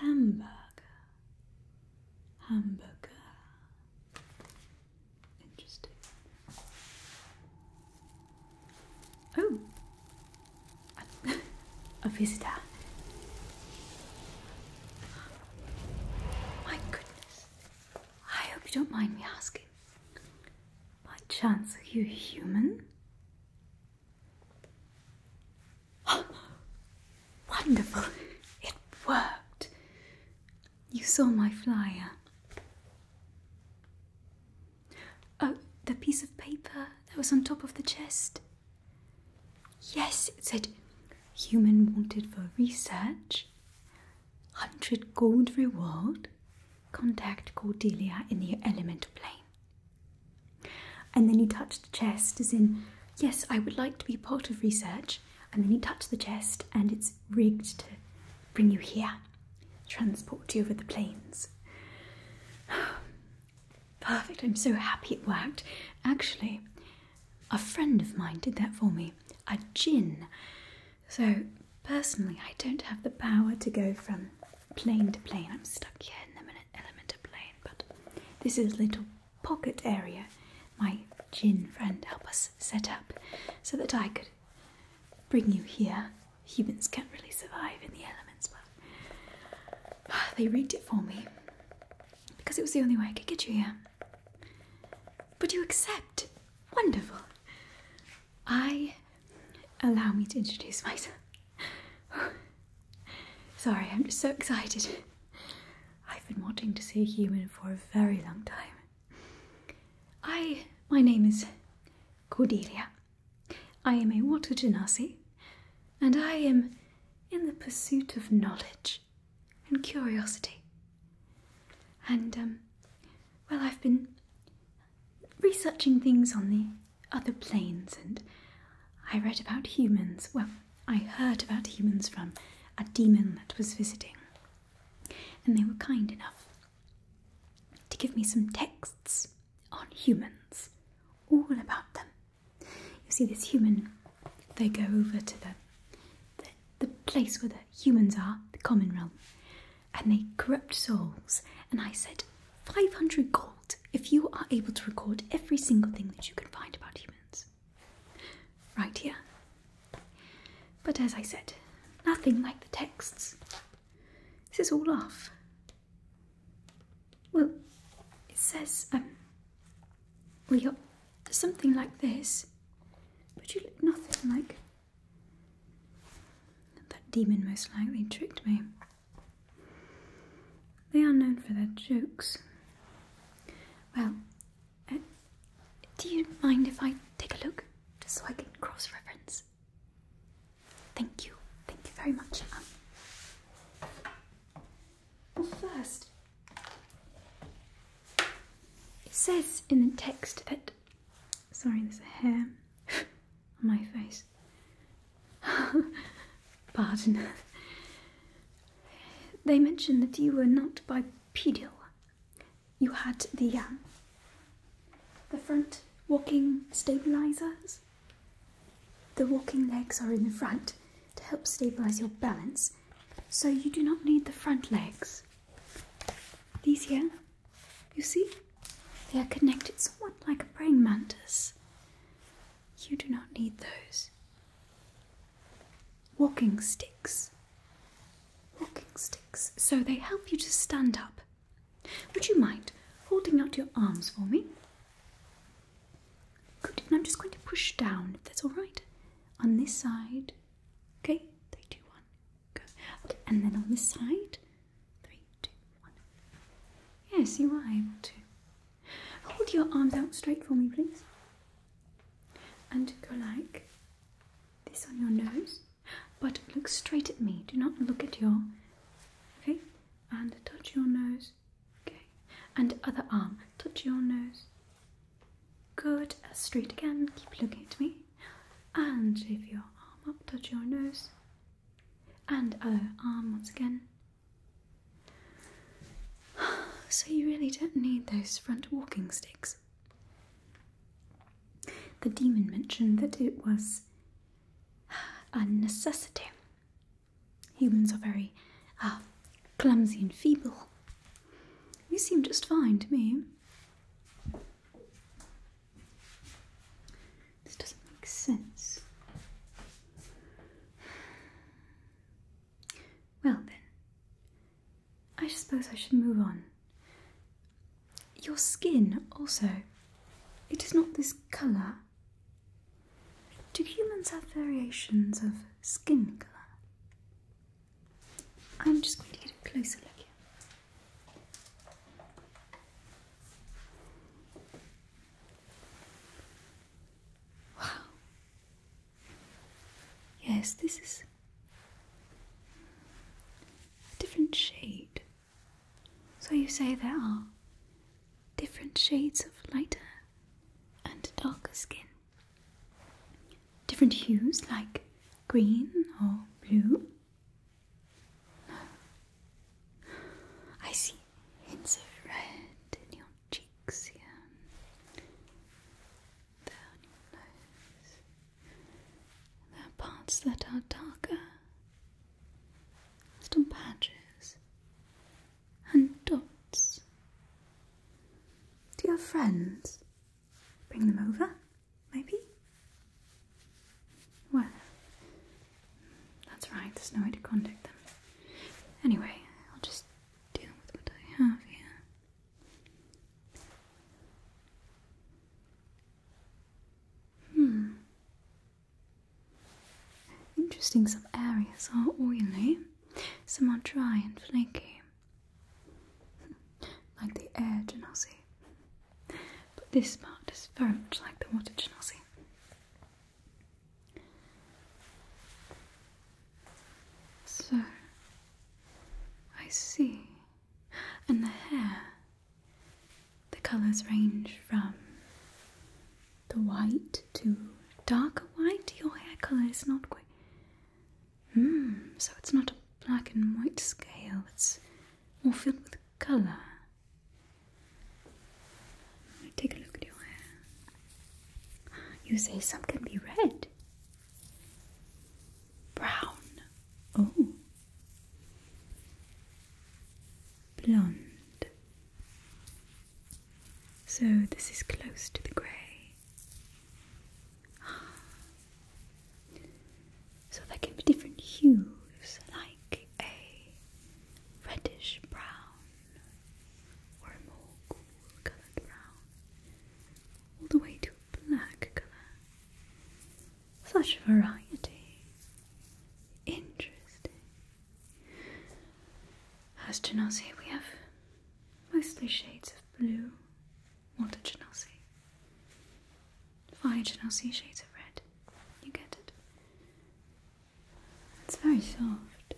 Hamburger, hamburger. Interesting. Oh, a visitor. My goodness. I hope you don't mind me asking by chance are you human? wonderful! It worked! You saw my flyer. Oh, the piece of paper that was on top of the chest. Yes, it said human wanted for research. 100 gold reward, contact Cordelia in the elemental plane. And then he touched the chest, as in, yes, I would like to be part of research. And then he touched the chest, and it's rigged to bring you here, transport you over the plains. Perfect, I'm so happy it worked. Actually, a friend of mine did that for me, a djinn. So, personally, I don't have the power to go from plane to plane. I'm stuck here in the element of plane, but this is a little pocket area my gin friend helped us set up so that I could bring you here. Humans can't really survive in the elements, but they rigged it for me because it was the only way I could get you here. Would you accept? Wonderful. I allow me to introduce myself. Sorry, I'm just so excited. I've been wanting to see a human for a very long time. I my name is Cordelia. I am a water genasi, and I am in the pursuit of knowledge and curiosity. And um, well, I've been researching things on the other planes and I read about humans. Well, I heard about humans from a demon that was visiting, and they were kind enough to give me some texts on humans, all about them. You see, this human, they go over to the, the, place where the humans are, the common realm, and they corrupt souls. And I said, 500 gold if you are able to record every single thing that you can find about humans. Right here. But as I said, nothing like the texts. This is all off. Well, it says, um, well, you something like this, but you look nothing like that demon most likely tricked me. They are known for their jokes. Well, uh, do you mind if I take a look just so I can cross reference? Thank you, thank you very much. well, first, it says in the text that Sorry, there's a hair on my face. Pardon. They mentioned that you were not bipedal. You had the um, the front walking stabilizers. The walking legs are in the front to help stabilize your balance, so you do not need the front legs. These here you see, they are connected somewhat like a brain mantis. You do not need those. Walking sticks. Walking sticks. So they help you to stand up. Would you mind holding out your arms for me? And I'm just going to push down, that's alright. On this side. Okay? Three, two, one. Okay, and then on this side. Three, two, one. Yes, you are able to. Hold your arms out straight for me, please. And go like this on your nose. But look straight at me. Do not look at your. Okay? And touch your nose. Okay. And other arm. Touch your nose. Good. Straight again. Keep looking at me and if your arm up, touch your nose, and other arm once again. So, you really don't need those front walking sticks. The demon mentioned that it was a necessity. Humans are very ah, clumsy and feeble. You seem just fine to me. This doesn't make sense. Well, then, I suppose I should move on. Your skin, also, it is not this colour. Do humans have variations of skin colour? I'm just going to get a closer look here. Wow. Yes, this is a different shade. So you say there are different shades of lighter and darker skin. Different hues like green or blue I see hints of red in your cheeks here. There on your nose. There are parts that are darker. Still patches and dots. Dear friends? Bring them over, maybe? Well, that's right, there's no way to contact them. Anyway, I'll just deal with what I have here. Hmm. Interesting, some areas are oily, some are dry and flaky. like the air genasi. But this part is very much like the water genasi. So I see. And the hair, the colours range from the white to darker white. Your hair colour is not quite Hmm, so it's not a black and white scale, it's more filled with colour. Take a look at your hair. You say some can be red, brown, oh, blonde. So this is close to the grey. So there can be different hues, like a reddish brown or a more cool coloured brown, all the way to a black colour. Such variety. Interesting. As to Genasi, we have mostly shades of blue what did you not see? Why did you not see shades of red? You get it. It's very soft.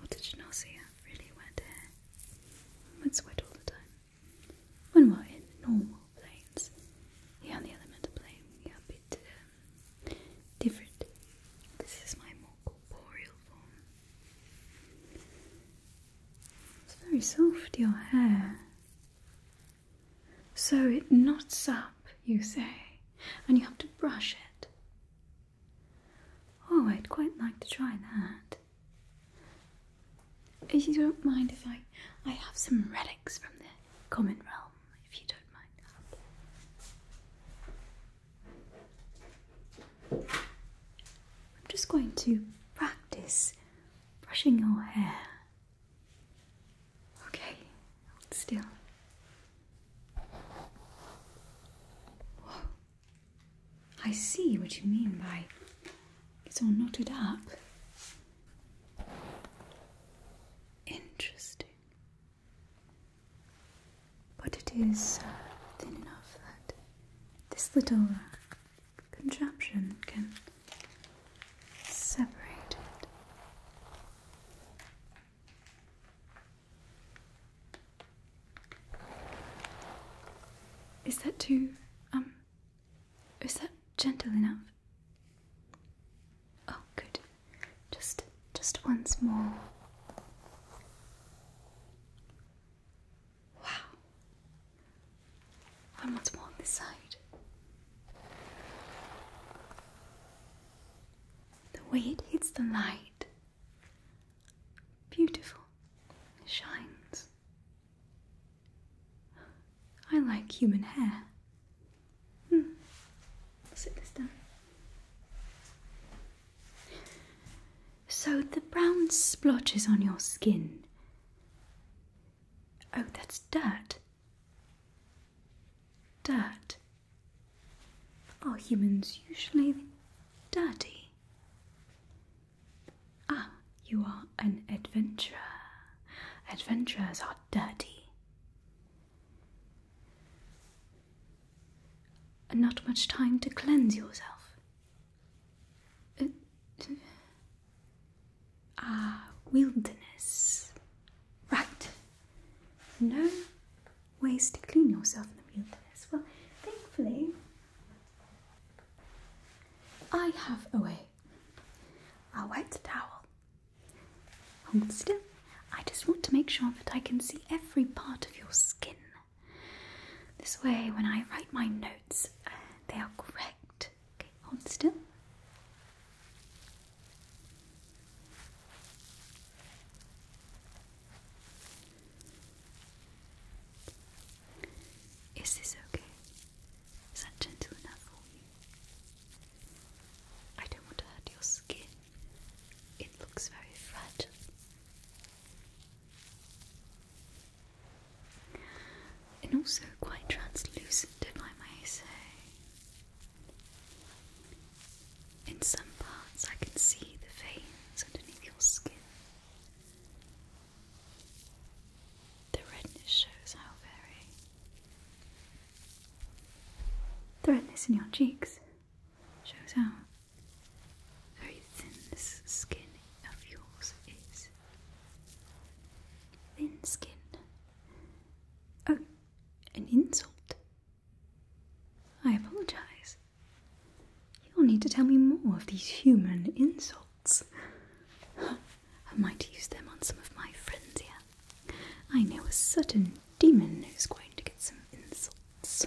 What did you not see? I really wet there? I sweat all the time. When we're in normal planes, yeah, on the elemental plane, yeah, a bit um, different. This is my more corporeal form. It's very soft, your hair. So it knots up, you say, and you have to brush it. Oh, I'd quite like to try that. If you don't mind if I, I have some relics from the common realm, if you don't mind I'm just going to practice brushing your hair. Okay, hold still. I see what you mean by it's all knotted up. Interesting. But it is uh, thin enough that this little contraption can separate it. Is that too, um, is that gentle enough? Oh, good. Just, just once more. Wow. And what's more on this side? The way it hits the light. Beautiful. It shines. I like human hair. Hmm. sit this down. So the brown splotches on your skin. Oh, that's dirt. Dirt. Are humans usually dirty? Ah, you are an adventurer. Adventurers are dirty. And Not much time to cleanse yourself. Uh, Ah, wilderness. Right. No ways to clean yourself in the wilderness. Well, thankfully, I have a way. A wet towel. Hold still. I just want to make sure that I can see every part of your skin. This way, when I write my notes, uh, they are correct. Okay, hold still. Is this okay? Is that gentle enough for you? I don't want to hurt your skin. It looks very fragile and also quite translucent, if I may say. In some parts, I can see the veins underneath your skin. The redness shows how very. The redness in your cheeks shows how very thin this skin of yours is. Thin skin. Oh, an insult. I apologize. You'll need to tell me more of these human insults. I might use them on some of my friends here. I know a certain demon who's going to get some insults.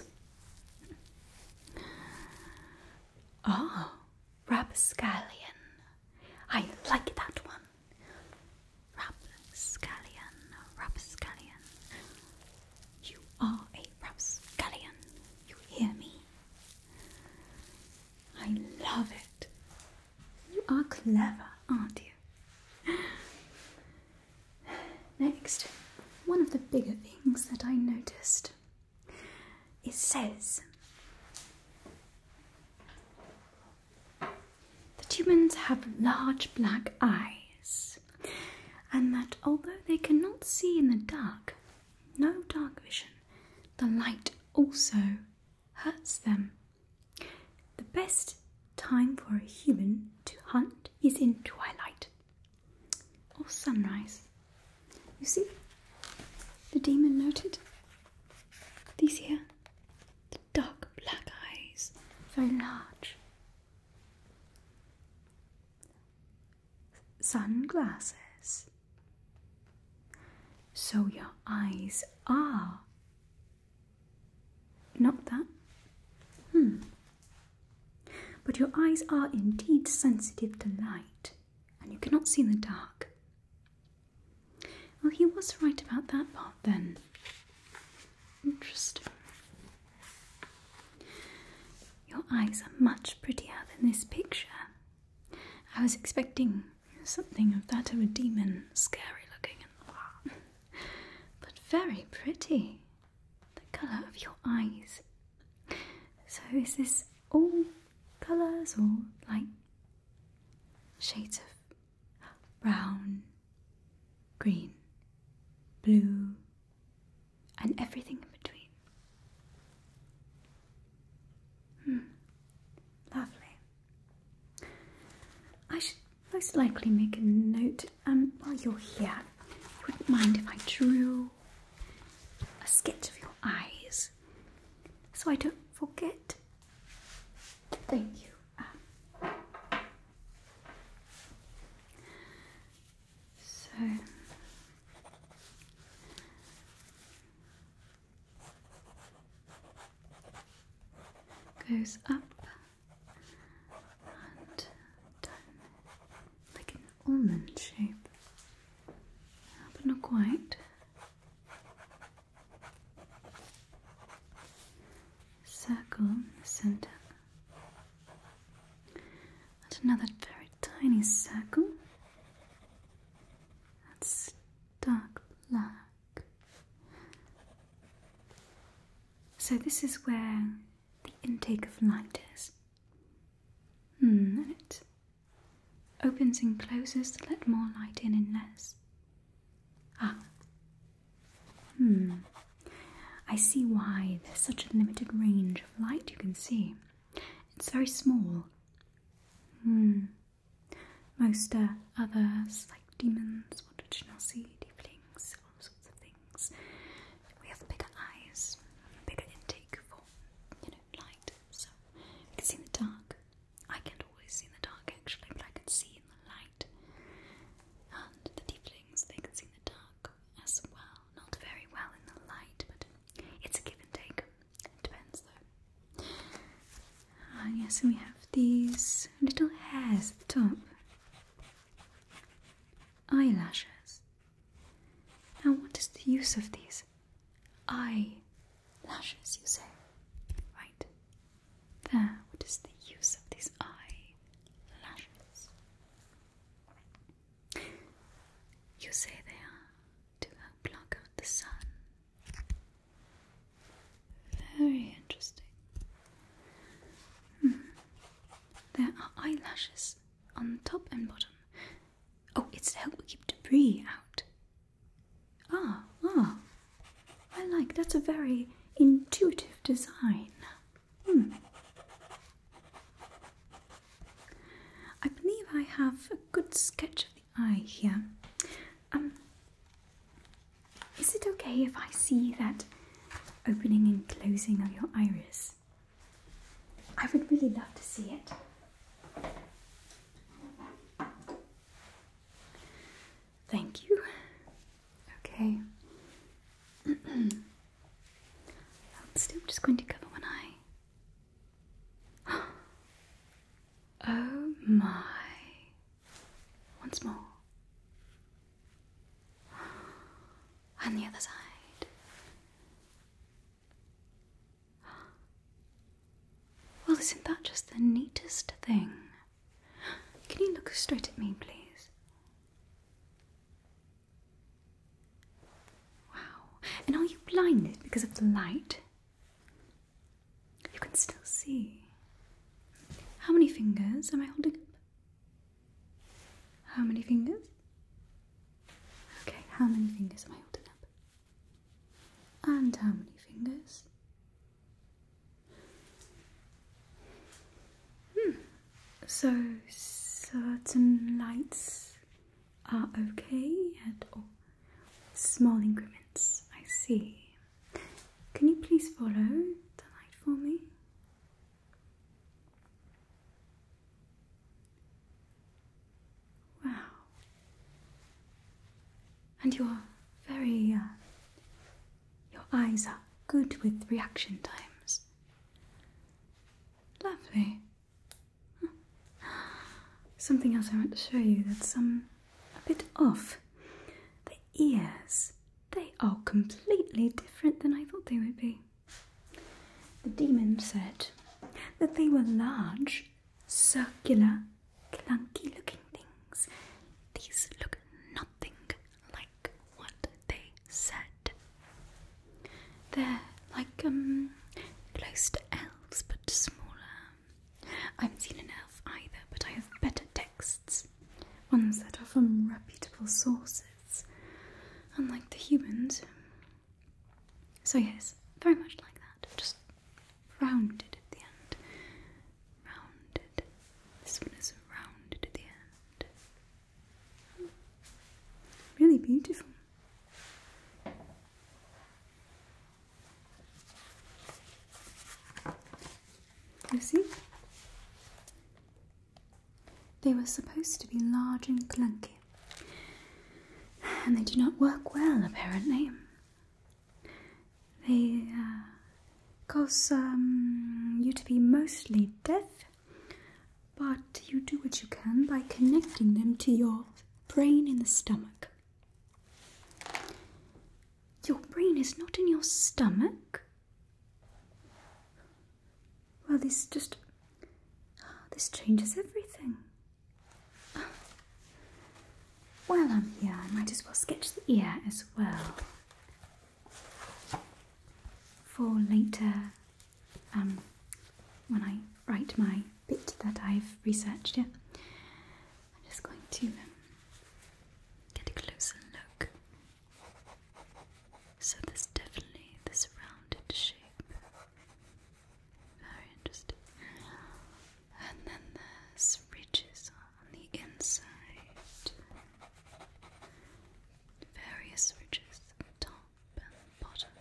Ah, Rapscallion. I like that one. Rapscallion, rapscallion. You are a rapscallion. You hear me? I love it. You are clever, aren't you? Next, one of the bigger things that I noticed it says that humans have large black eyes, and that although they cannot see in the dark, no dark vision, the light also hurts them. The best time for a human to hunt is in twilight or sunrise. You see? The demon noted these here. The dark black eyes, very large. Sunglasses. So your eyes are. Not that. Hmm. But your eyes are indeed sensitive to light and you cannot see in the dark. Well, he was right about that part then. Interesting. Your eyes are much prettier than this picture. I was expecting something of that of a demon, scary looking and but very pretty. The colour of your eyes. So, is this all colours or like shades of brown, green, blue, and everything in between. Hmm. lovely. I should most likely make a note um, while you're here. wouldn't mind if I drew a sketch of your eyes so I don't forget. Thank you. So goes up and down like almond shape, but not quite. Circle in the center, and another very tiny circle that's dark black. So, this is where the intake of light is. Mm, Opens and closes to let more light in and less. Ah. Hmm. I see why there's such a limited range of light you can see. It's very small. Hmm. Most uh, others, like demons, what did you not all sorts of things. We have bigger eyes, bigger intake for, you light. So you can see in the dark. I can't always see in the dark actually, but I can see in the light. And the tieflings, they can see in the dark as well. Not very well in the light, but it's a give and take. It depends though. Ah, yes, yeah, we have these little hairs at the top. Eyelashes. Now, what is the use of these? Eye lashes, you say? Right. There, what is the use of these eye lashes? You say they are to block out the sun. Very interesting. Hmm. There are eyelashes on top and bottom, Oh, it's to help keep debris out. Ah, ah. I like that's a very intuitive design. Hmm. I believe I have a good sketch of the eye here. Um, is it okay if I see that opening and closing of your iris? I would really love to see it. Thank you. Okay. I'm still just going to cover one eye. Oh my. Once more. And the other side. Well, isn't that just the neatest thing? Can you look straight at me, please? Wow. And are you blinded because of the light? You can still see. How many fingers am I holding up? How many fingers? Okay, how many fingers am I holding up? And how many fingers? Hmm. So certain lights are okay at all. Small increments, I see. Can you please follow the light for me? Wow. And you're very. Uh, your eyes are good with reaction times. Lovely. Something else I want to show you that's um, a bit off. The ears, they are completely different than I thought they would be. The demon said that they were large circular, clunky looking things. These look nothing like what they said. They're like um close to elves but smaller. I haven't seen an elf either, but I have better texts. Ones that are from reputable sources. Unlike the humans, so, yes, very much like that, just rounded at the end. Rounded. This one is rounded at the end. Really beautiful. You see? They were supposed to be large and clunky, and they do not work well apparently. They uh, cause um, you to be mostly deaf, but you do what you can by connecting them to your brain in the stomach. Your brain is not in your stomach. Well, this just this changes everything. While I'm here, I might as well sketch the ear as well for later um, when I write my bit that I've researched. Yeah, I'm just going to um, get a closer look. So there's definitely this rounded shape. Very interesting. And then there's ridges on the inside. Various ridges top and bottom.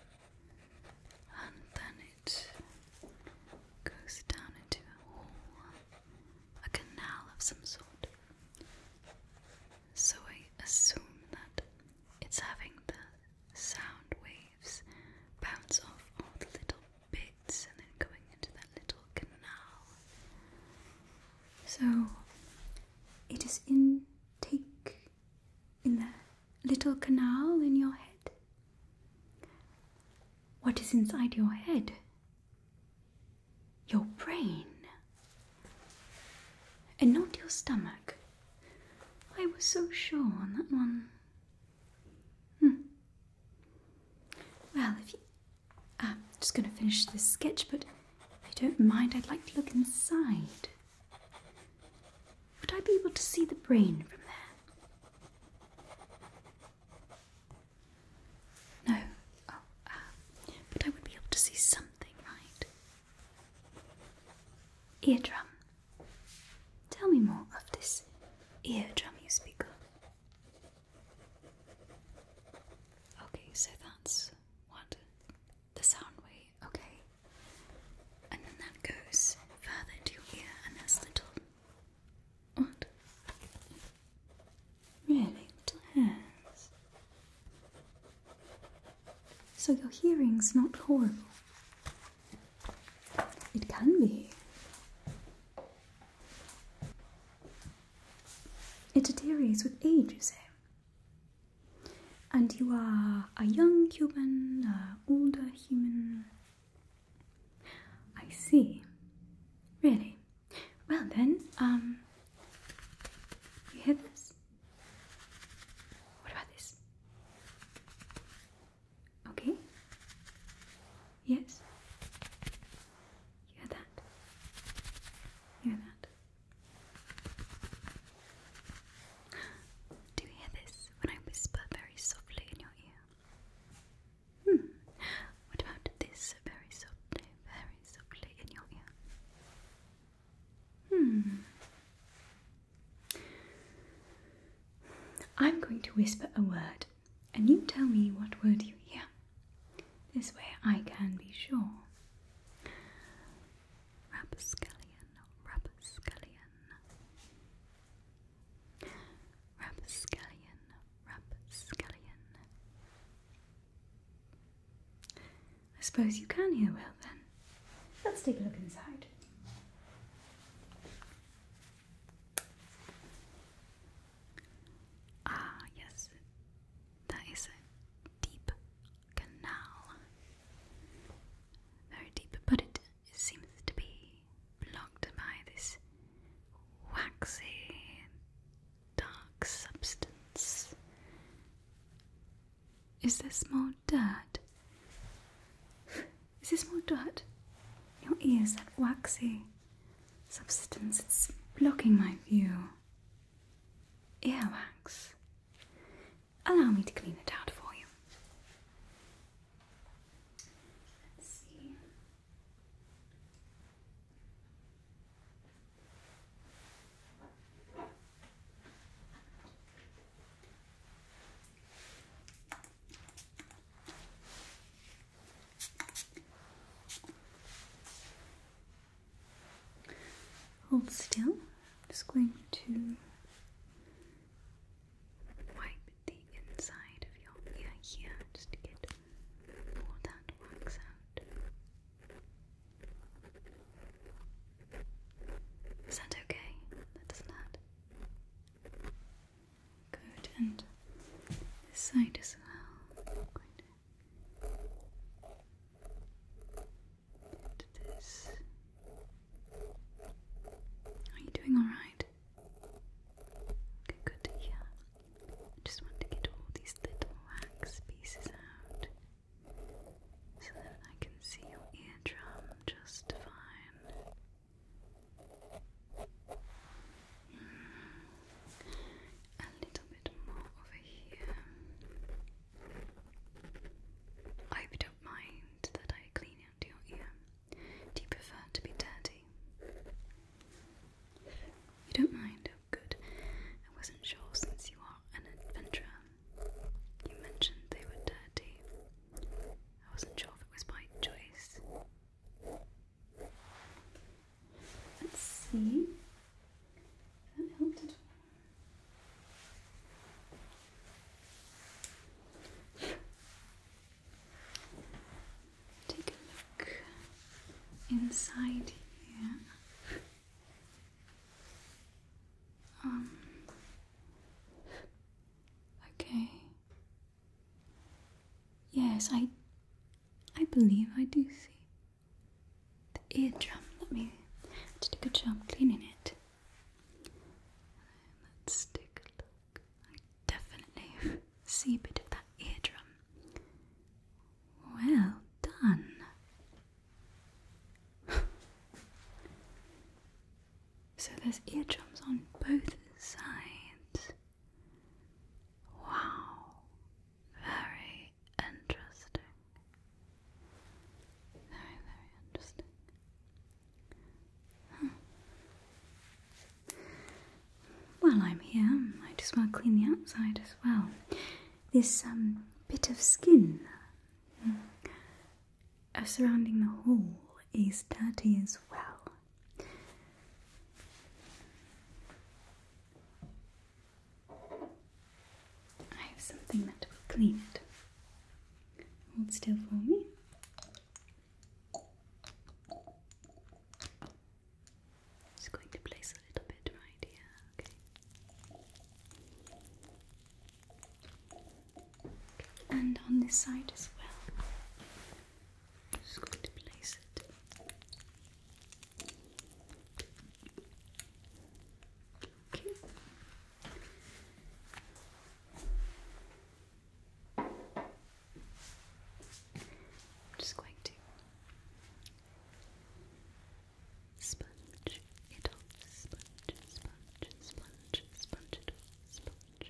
And then it goes down into a hole, a canal of some sort. So I assume that it's having the sound waves bounce off all the little bits and then going into that little canal. So it is intake in the little canal in your head. What is inside your head? Your brain. And not your stomach. I was so sure on that one. Hmm. Well, if you. I'm just going to finish this sketch, but if you don't mind, I'd like to look inside. Would I be able to see the brain from there? No. Oh, ah. but I would be able to see something, right? Eardrum. Tell me more of this eardrum you speak of. Okay, so that's what the sound wave, okay. And then that goes further into your ear and that's little what? Really So your hearing's not horrible. It can be. It deteriorates with age, you say. And you are a young Cuban, an older human. I see. Really? Well then, um, you hear this? What about this? Okay? Yes? Hear that? Hear that? Do you hear this when I whisper very softly in your ear? Hmm. What about this very softly, very softly in your ear? Hmm. I'm going to whisper a word, and you tell me what word you hear. This way I can be sure. Rapscallion, rapscallion. Rapscallion, rapscallion. I suppose you can hear well then. Let's take a look inside. Ah, yes, that is a deep canal. Very deep, but it seems to be blocked by this waxy, dark substance. Is there small more dirt. Is this more dirt? Your ears, that waxy substance, it's blocking my view. Earwax. Allow me to clean it out for you. Hold still. I'm just going to wipe the inside of your ear here just to get all that wax out. Is that okay? That doesn't Good, and this side as well. Good. this. Are you doing alright? Okay, good to hear. just want to get all these little wax pieces out so that I can see your eardrum just fine. A little bit more over here. I hope you don't mind that I clean out your ear. Do you prefer to be dirty? You don't mind? Oh, good. I wasn't sure since you are an adventurer. You mentioned they were dirty. I wasn't sure if it was my choice. Let's see. Take a look inside here. Um, Okay. Yes, I I believe I do see. The eardrum, let me just do a good job cleaning it. Let's take a look. I definitely see a bit of that eardrum. Well done. So there's eardrums on both sides. Wow, very interesting. Very, very interesting. Huh. Hmm. While I'm here, I might as well clean the outside as well. This um, bit of skin. Hmm. Uh, surrounding the hole is dirty as well. I have something that will clean it. Hold still for me. Just going to place a little bit right here, okay? and on this side as well. just going to place it. Okay. just going to sponge it off, sponge, sponge, sponge, sponge it off, sponge,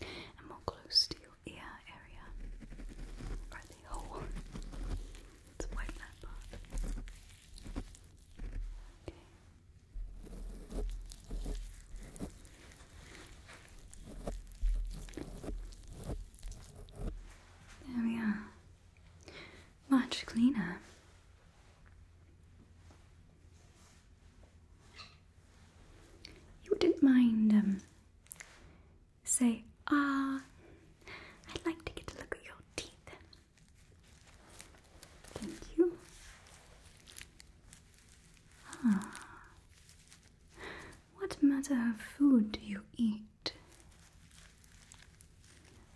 And more close to your ear area. Right there. Let's wipe that part. There we are. Much cleaner. You wouldn't mind, um, say, ah, I'd like to get a look at your teeth. Thank you. Ah. What matter of food do you eat?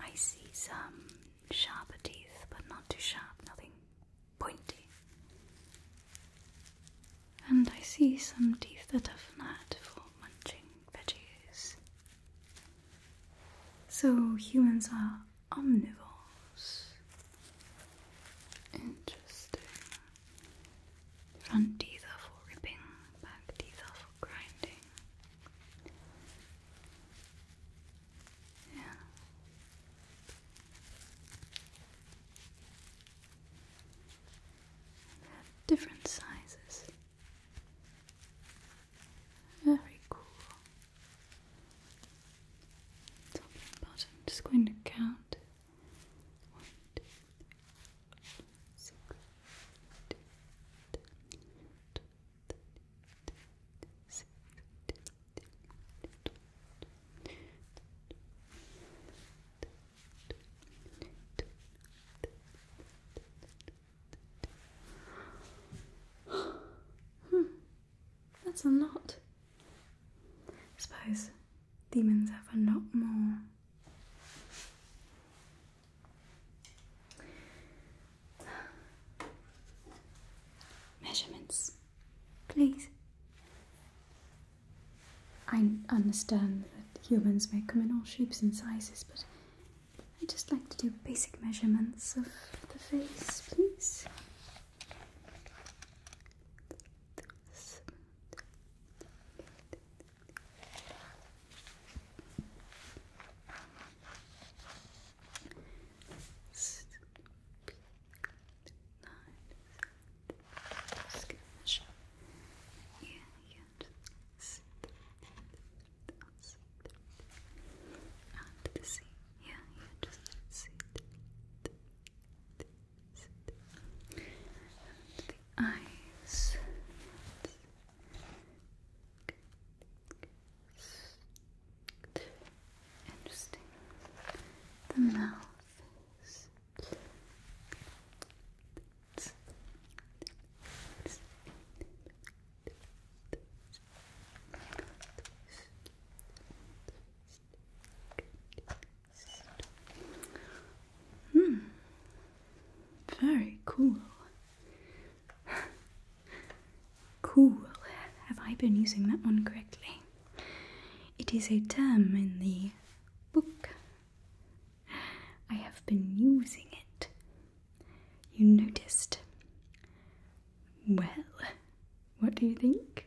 I see some sharper teeth, but not too sharp, nothing pointy. And I see some teeth that are not for munching veggies. So humans are omnivores. Interesting. Front teeth are for ripping, back teeth are for grinding. Yeah. different sizes. Very cool. Top and I'm just going to count. One, two, three, six, two, two, two, hmm. That's a lot. I suppose demons have a lot more. Measurements, please. I understand that humans may come in all shapes and sizes, but I'd just like to do basic measurements of the face, please the sea. Yeah, yeah, just sit. sit. And the eyes. Good, good, good. Interesting. The mouth Hmm. Very cool cool. Have I been using that one correctly? It is a term in the book. I have been using it. You noticed. Well, what do you think?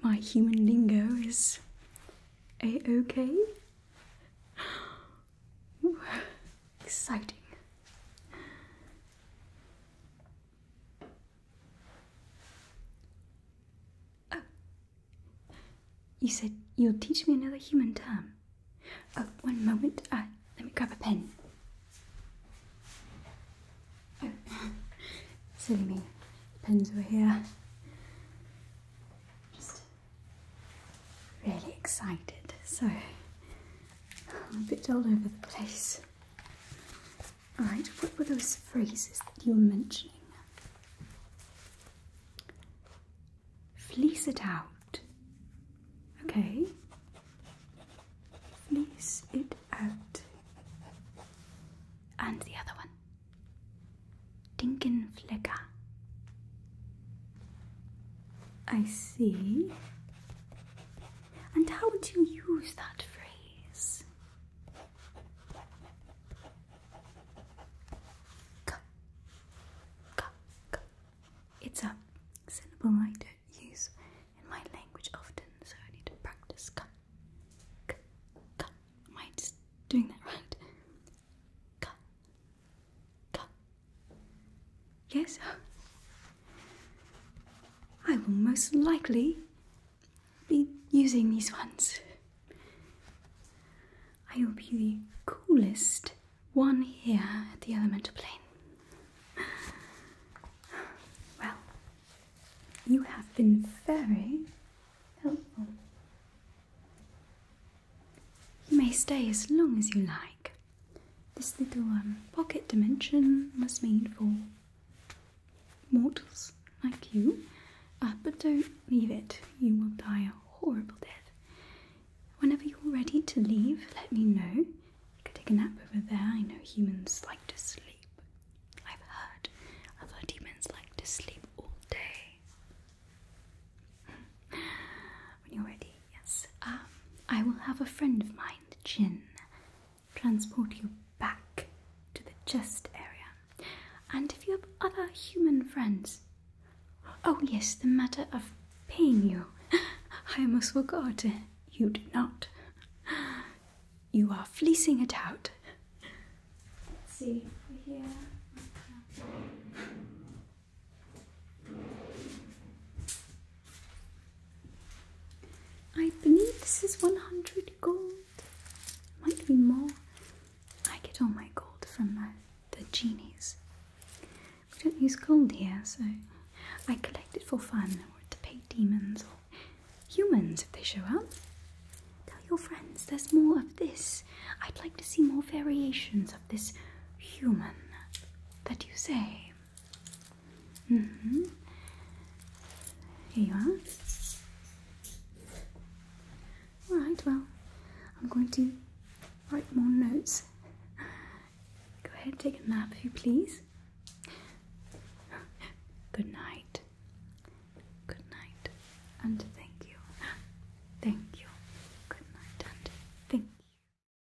My human lingo is a okay? Ooh, exciting. Oh, you said you'll teach me another human term. Oh, one moment. Ah, let me grab a pen. Oh, silly me. The pens were here. Just really excited. So, I'm a bit all over the place. All right, what were those phrases that you were mentioning? Fleece it out. Okay. Fleece it out. And the other one. Dinken Dinkenflecker. I see. And how would you use that phrase? It's a syllable I don't use in my language often, so I need to practice. Am I doing that right? Yes? I will most likely be using these ones. I will be the coolest one here at the elemental plane. Well, you have been very helpful. You may stay as long as you like. This little um, pocket dimension was made for mortals like you, uh, but don't leave it. You will die a horrible death. Whenever you're ready to leave, let me know. You can take a nap over there. I know humans like to sleep. I've heard other demons like to sleep all day. when you ready, yes. Um, I will have a friend of mine, Jin, transport you back to the chest area. And if you have other human friends, oh yes, the matter of paying you. I almost forgot. You do not. You are fleecing it out. Let's see, we're here. I believe this is 100 gold. Might be more. I get all my gold from the genies. We don't use gold here, so I collect it for fun or to pay demons or humans if they show up. Tell your friends there's more of this. I'd like to see more variations of this human that you say. Mm-hmm. Here you are. Alright, well, I'm going to write more notes. Go ahead, take a nap if you please. Good night. Good night. And thank you. Thank you. Good night and thank you.